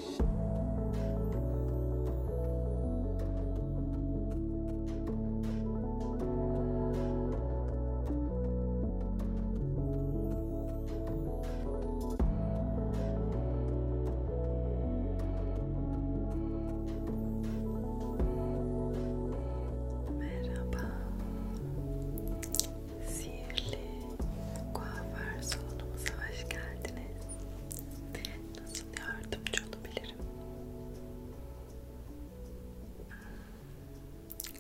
Merhaba, sihirli kuaför salonumuza hoş geldiniz. Nasıl yardımcı olabilirim?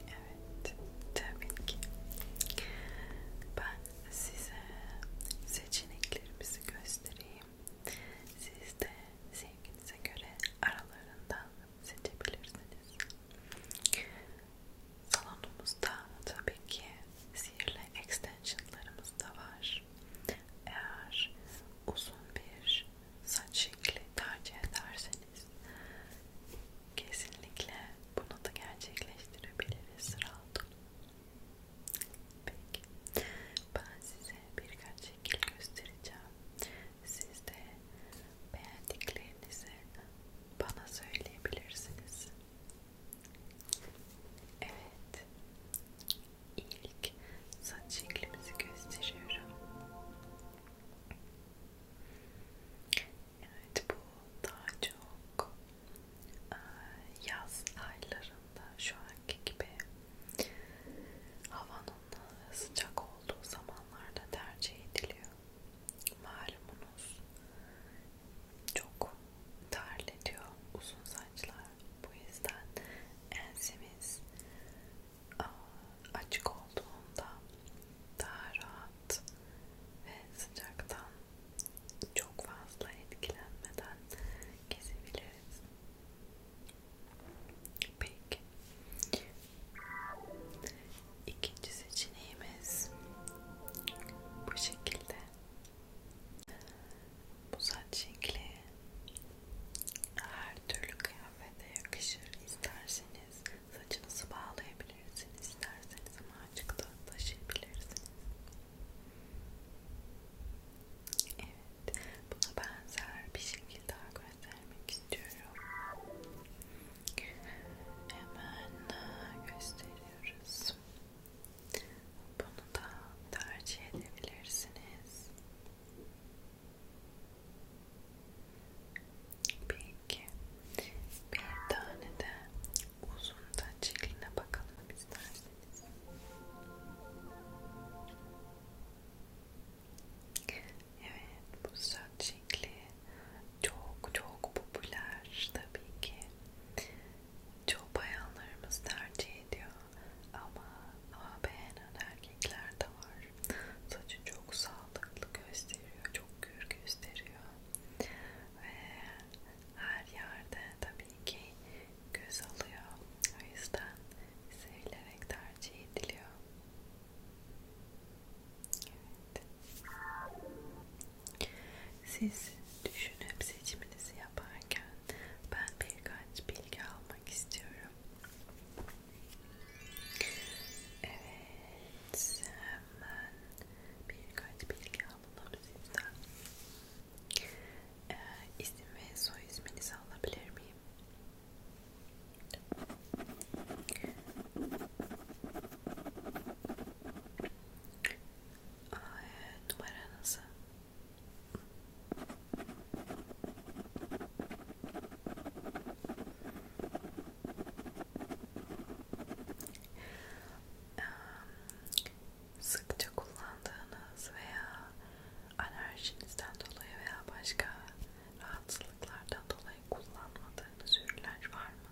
Evet, tabii ki. Ben size seçeneklerimizi göstereyim. Siz de sevginize göre aralarından seçebilirsiniz. Salonumuzda tabii ki sihirli extensionlarımız da var. Eğer uzun bir saç şekli tercih ederseniz kesinlikle bunu da gerçekleştirebiliriz rahat olun. Peki. Ben size birkaç şekil göstereceğim. Siz de beğendiklerinizi bana söyleyebilirsiniz. Evet. İlk saç şeklimizi gösteriyorum. Evet bu daha çok yaz aylarında şu anki gibi havanın sıcak olduğu zamanlarda tercih ediliyor. Malumunuz çok terletiyor uzun saçlar. Bu yüzden ensemiz açık olduğunda daha rahat ve sıcaktan çok fazla etkilenmeden kesebiliriz. Peki. İkinci seçeneğimiz bu şekilde bu saç şekli her türlü kıyafete yakışır. İsterseniz saçınızı bağlayabilirsiniz, isterseniz macık da taşıyabilirsiniz. Evet, buna benzer bir şekil daha göstermek istiyorum. Hemen ıı, gösteriyoruz. Bunu da tercih edebilirsiniz. Peki. Bir tane de uzun da çiline bakalım isterseniz. Evet, bu saç şekli çok çok popüler tabii ki. Çoğu bayanlarımız tercih ediyor ama ama beğenen erkekler de var. Saçı çok sağlıklı gösteriyor, çok gür gösteriyor ve her yerde tabii ki göz alıyor. O yüzden sevilerek tercih ediliyor. Evet. Siz düşünüp seçiminizi yaparken ben birkaç bilgi almak istiyorum. Evet, hemen birkaç bilgi alalım sizden. Ee, isim ve soy isminizi alabilir miyim? numaranızı sıkça kullandığınız veya alerjinizden dolayı veya başka rahatsızlıklardan dolayı kullanmadığınız ürünler var mı?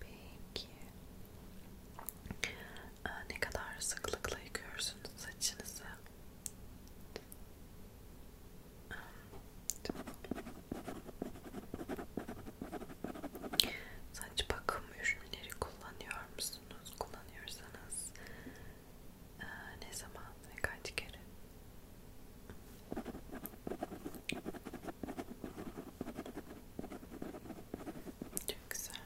Peki ee, ne kadar sıklıkla yıkıyorsunuz saçınızı? Saç bakımı kamu ürünleri kullanıyor musunuz? Kullanıyorsanız ee, ne zaman ve kaç kere? Çok güzel.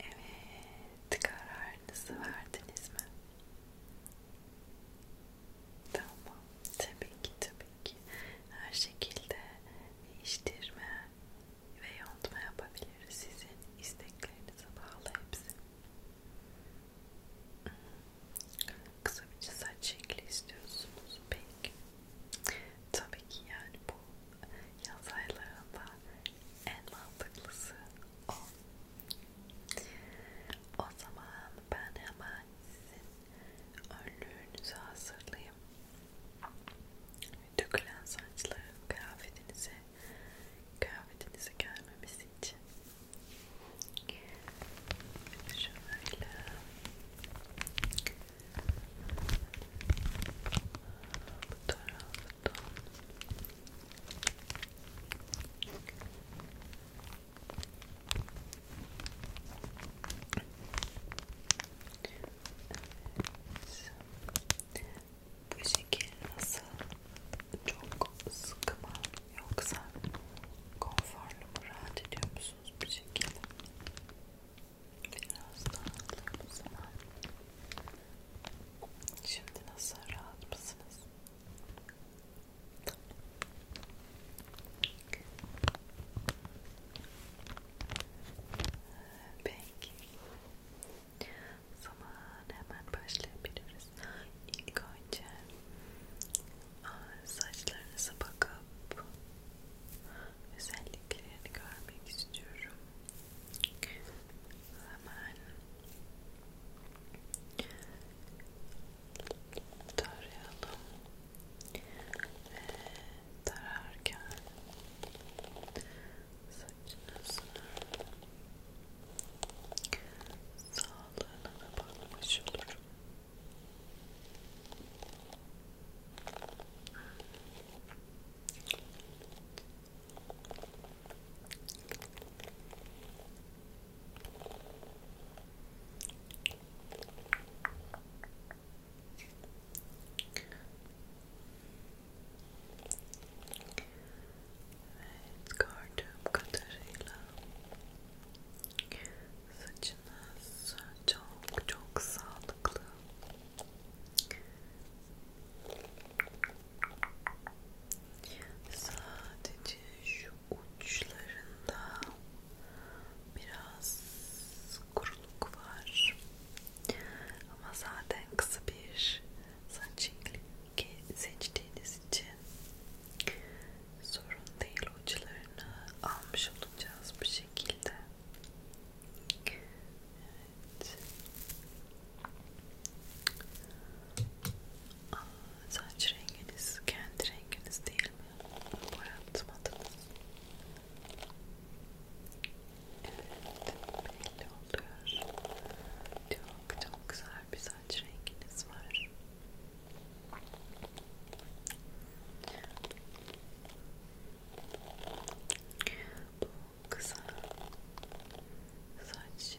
Evet, kararınızı verdiniz mi? Tamam, tabii ki tabii ki her şekilde değiştirme ve yontma yapabiliriz sizin isteklerinize bağlı hepsi. Hmm. Kısa bir saç şekli istiyorsunuz peki? Tabii ki yani bu yaz aylarında en mantıklısı o. O zaman ben hemen ben sizin önlüğünüzü hazırlayayım. Dökülen saçların kıyafetinize, kıyafetinize gelmemesi için. Şöyle. Bu taraftan. Evet. Bu şekil nasıl? Çok sıkı mı? Yoksa konforlu mu? Rahat ediyor musunuz bu şekilde? Biraz daha alalım o zaman. Şimdi nasıl? Rahat mısınız? Peki. O zaman hemen başlayabiliriz. İlk önce saçlarınıza bakıp özelliklerini görmek istiyorum. Hemen tarayalım ve tararken saçınızın sağlığına da bakmış olurum. Evet. It's Khartoum, Katarina. Saçınız çok çok sağlıklı. Sadece şu şu uçlarında biraz kuruluk var ama zaten kısa bir saç rengi seçtiğiniz için sorun değil uçlarını almış olacağız bu şekilde evet Aa, saç renginiz kendi renginiz değil boyatmadınız. Evet, belli oluyor. Çok çok güzel bir saç renginiz var. Bu kısa saç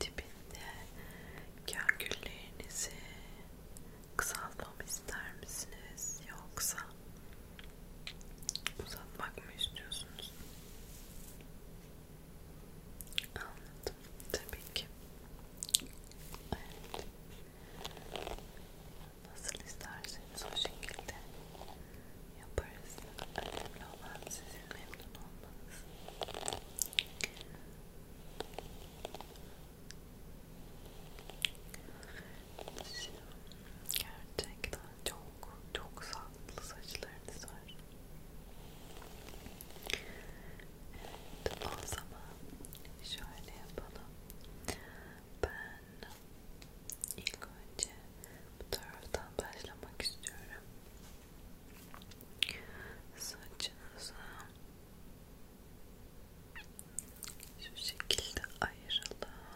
tipinde kâr günlerinizi kısaltmamı ister misiniz yoksa uzatmak mı istiyorsunuz? Anladım. Tabii ki. Evet. Nasıl isterseniz o şekilde yaparız. Önemli olan sizin memnun olmanız. Gerçekten çok çok sağlıklı saçlarınız var. Evet, o zaman şöyle yapalım. Ben ilk önce bu taraftan başlamak istiyorum saçınızı şu şekilde ayıralım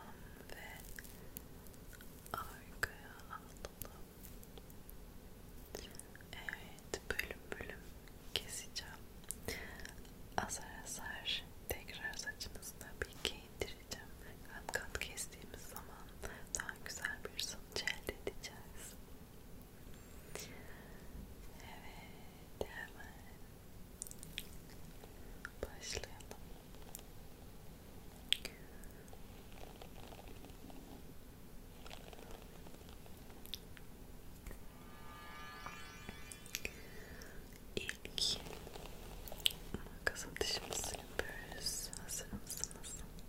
ve arkaya alalım. Evet bölüm bölüm keseceğim. Azar azar tekrar saçınızı tabii ki indireceğim. Kat kat kestiğimiz zaman daha güzel bir sonuç elde edeceğiz. Evet, hemen başlayalım. İlk makas atışımızı yapıyoruz. Hazır mısınız?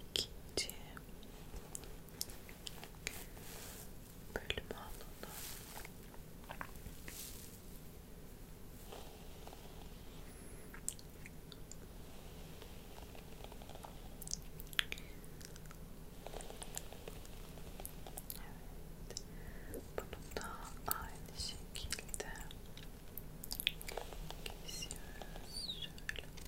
ikinci bölümü alalım. Evet. Bunu da aynı şekilde kesiyoruz. Şöyle.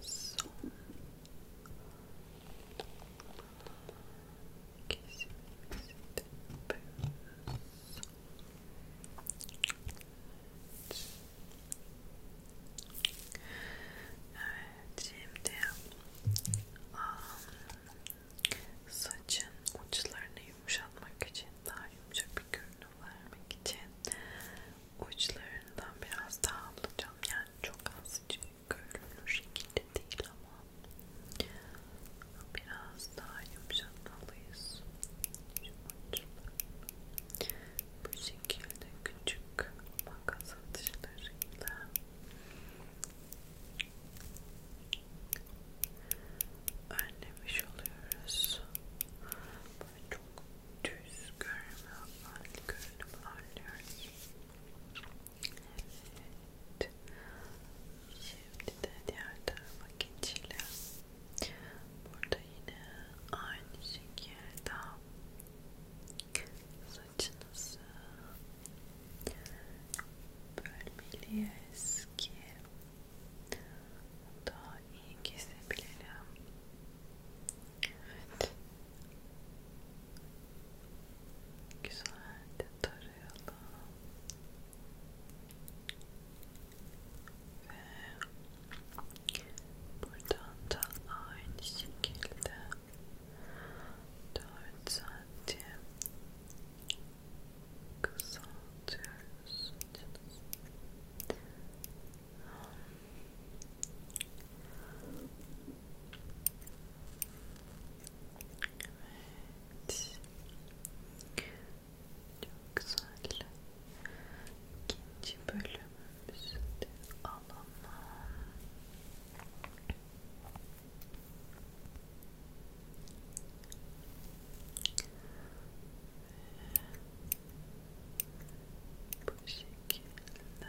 son kesimimizi de yapıyoruz. Evet. evet şimdi um, saçın uçlarını yumuşatmak için daha yumuşak bir görünüm vermek için uçlarından biraz daha alacağım yani çok az görünür şekilde değil ama biraz daha yumuşatmalıyız. Bu şekilde küçük makas atışlarıyla önlemiş oluyoruz. Böyle çok düz görünümü, hal görünümü anlıyoruz. Evet. Şimdi de diğer tarafa geçelim. Burada yine aynı şekilde saçınızı bölmeliyiz ki daha iyi kesebilirim. Evet. Güzelce tarayalım. Ve buradan da aynı şekilde 4 santim kısaltıyoruz. Evet. Çok güzel. İkinci bölümümüzü de alalım. Bu şekilde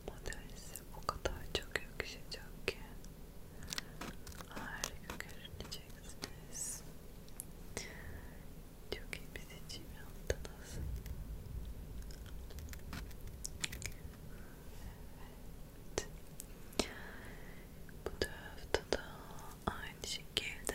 Domatesi o kadar çok yakışacak ki harika görüneceksiniz. Çok iyi bir seçim yaptınız. Evet. Bu tarafta da aynı şekilde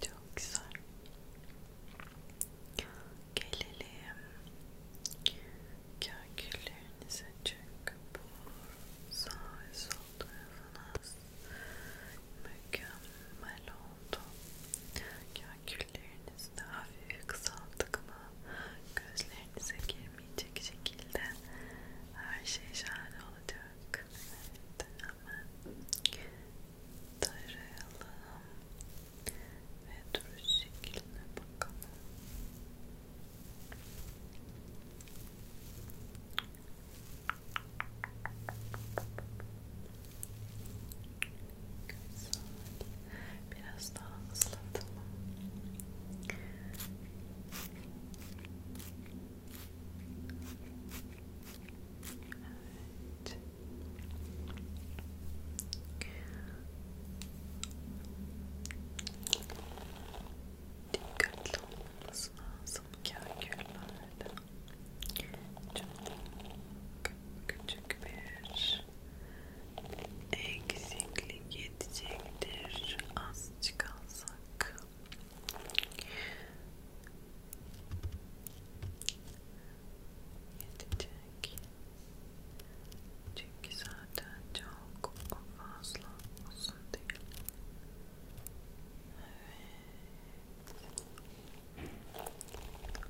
Çok güzel. Gelelim köklerinize çünkü bu sağ ve sol tarafınız mükemmel oldu. Köklerinizi de hafif kısalttık ama gözlerinize girmeyecek şekilde her şey şahane olacak. Evet, hemen tarayalım ve duruş şekline bakalım. Güzel. Biraz daha ıslatalım. Evet. Dikkatli olmamız lazım kâgüllerde. Çok küçük bir eksiklik yetecektir. Azıcık alsak. Yetecek. Çünkü zaten çok fazla uzun değil. Evet.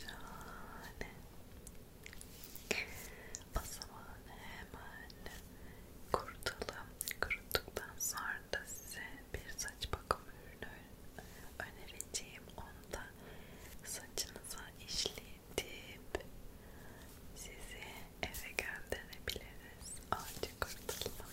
Şahane. O zaman hemen kurutalım. Kuruttuktan sonra da size bir saç bakım ürünü önereceğim onu da saçınıza işletip sizi eve gönderebiliriz acı kurtulmadan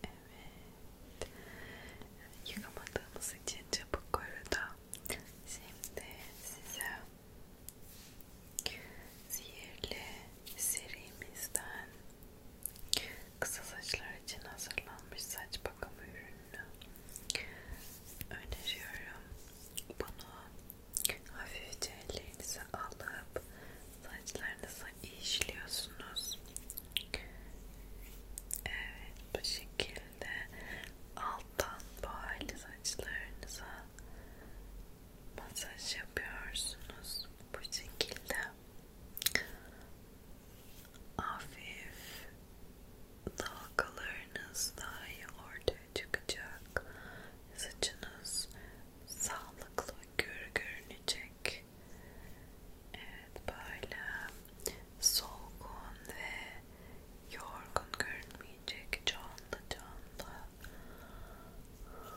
Evet. Yıkamadığımız için çabuk kurudu. Şimdi size sihirli serimizden Kısa saçlar için hazırlanmış saç bakımı ürünü öneriyorum. Bunu hafifçe ellerinize alıp saçlarınıza işliyorsunuz. Evet bu şekilde alttan bu saçlarınıza masaj yapıyorsunuz bu şekilde hafif dalgalarınız daha iyi ortaya çıkacak. Saçınız sağlıklı gür görünecek. Evet böyle solgun ve yorgun görünmeyecek. Canlı canlı. Evet.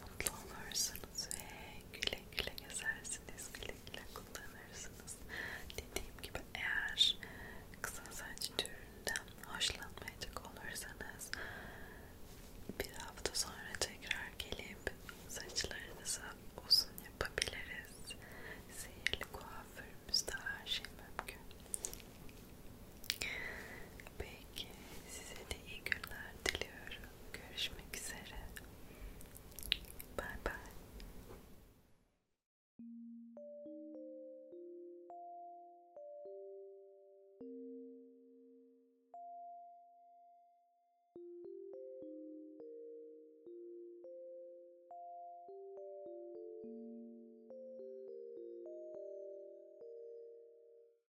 mutlu olursunuz ve güle güle gezersiniz, güle güle kullanırsınız. Dediğim gibi eğer kısa saç türünden hoşlanmayacak olursanız bir hafta sonra tekrar gelip saçlarınızı uzun yapabiliriz. Sihirli kuaförümüzde her şey mümkün. Peki Peki size de iyi günler diliyorum. Görüşmek üzere. Bye bye.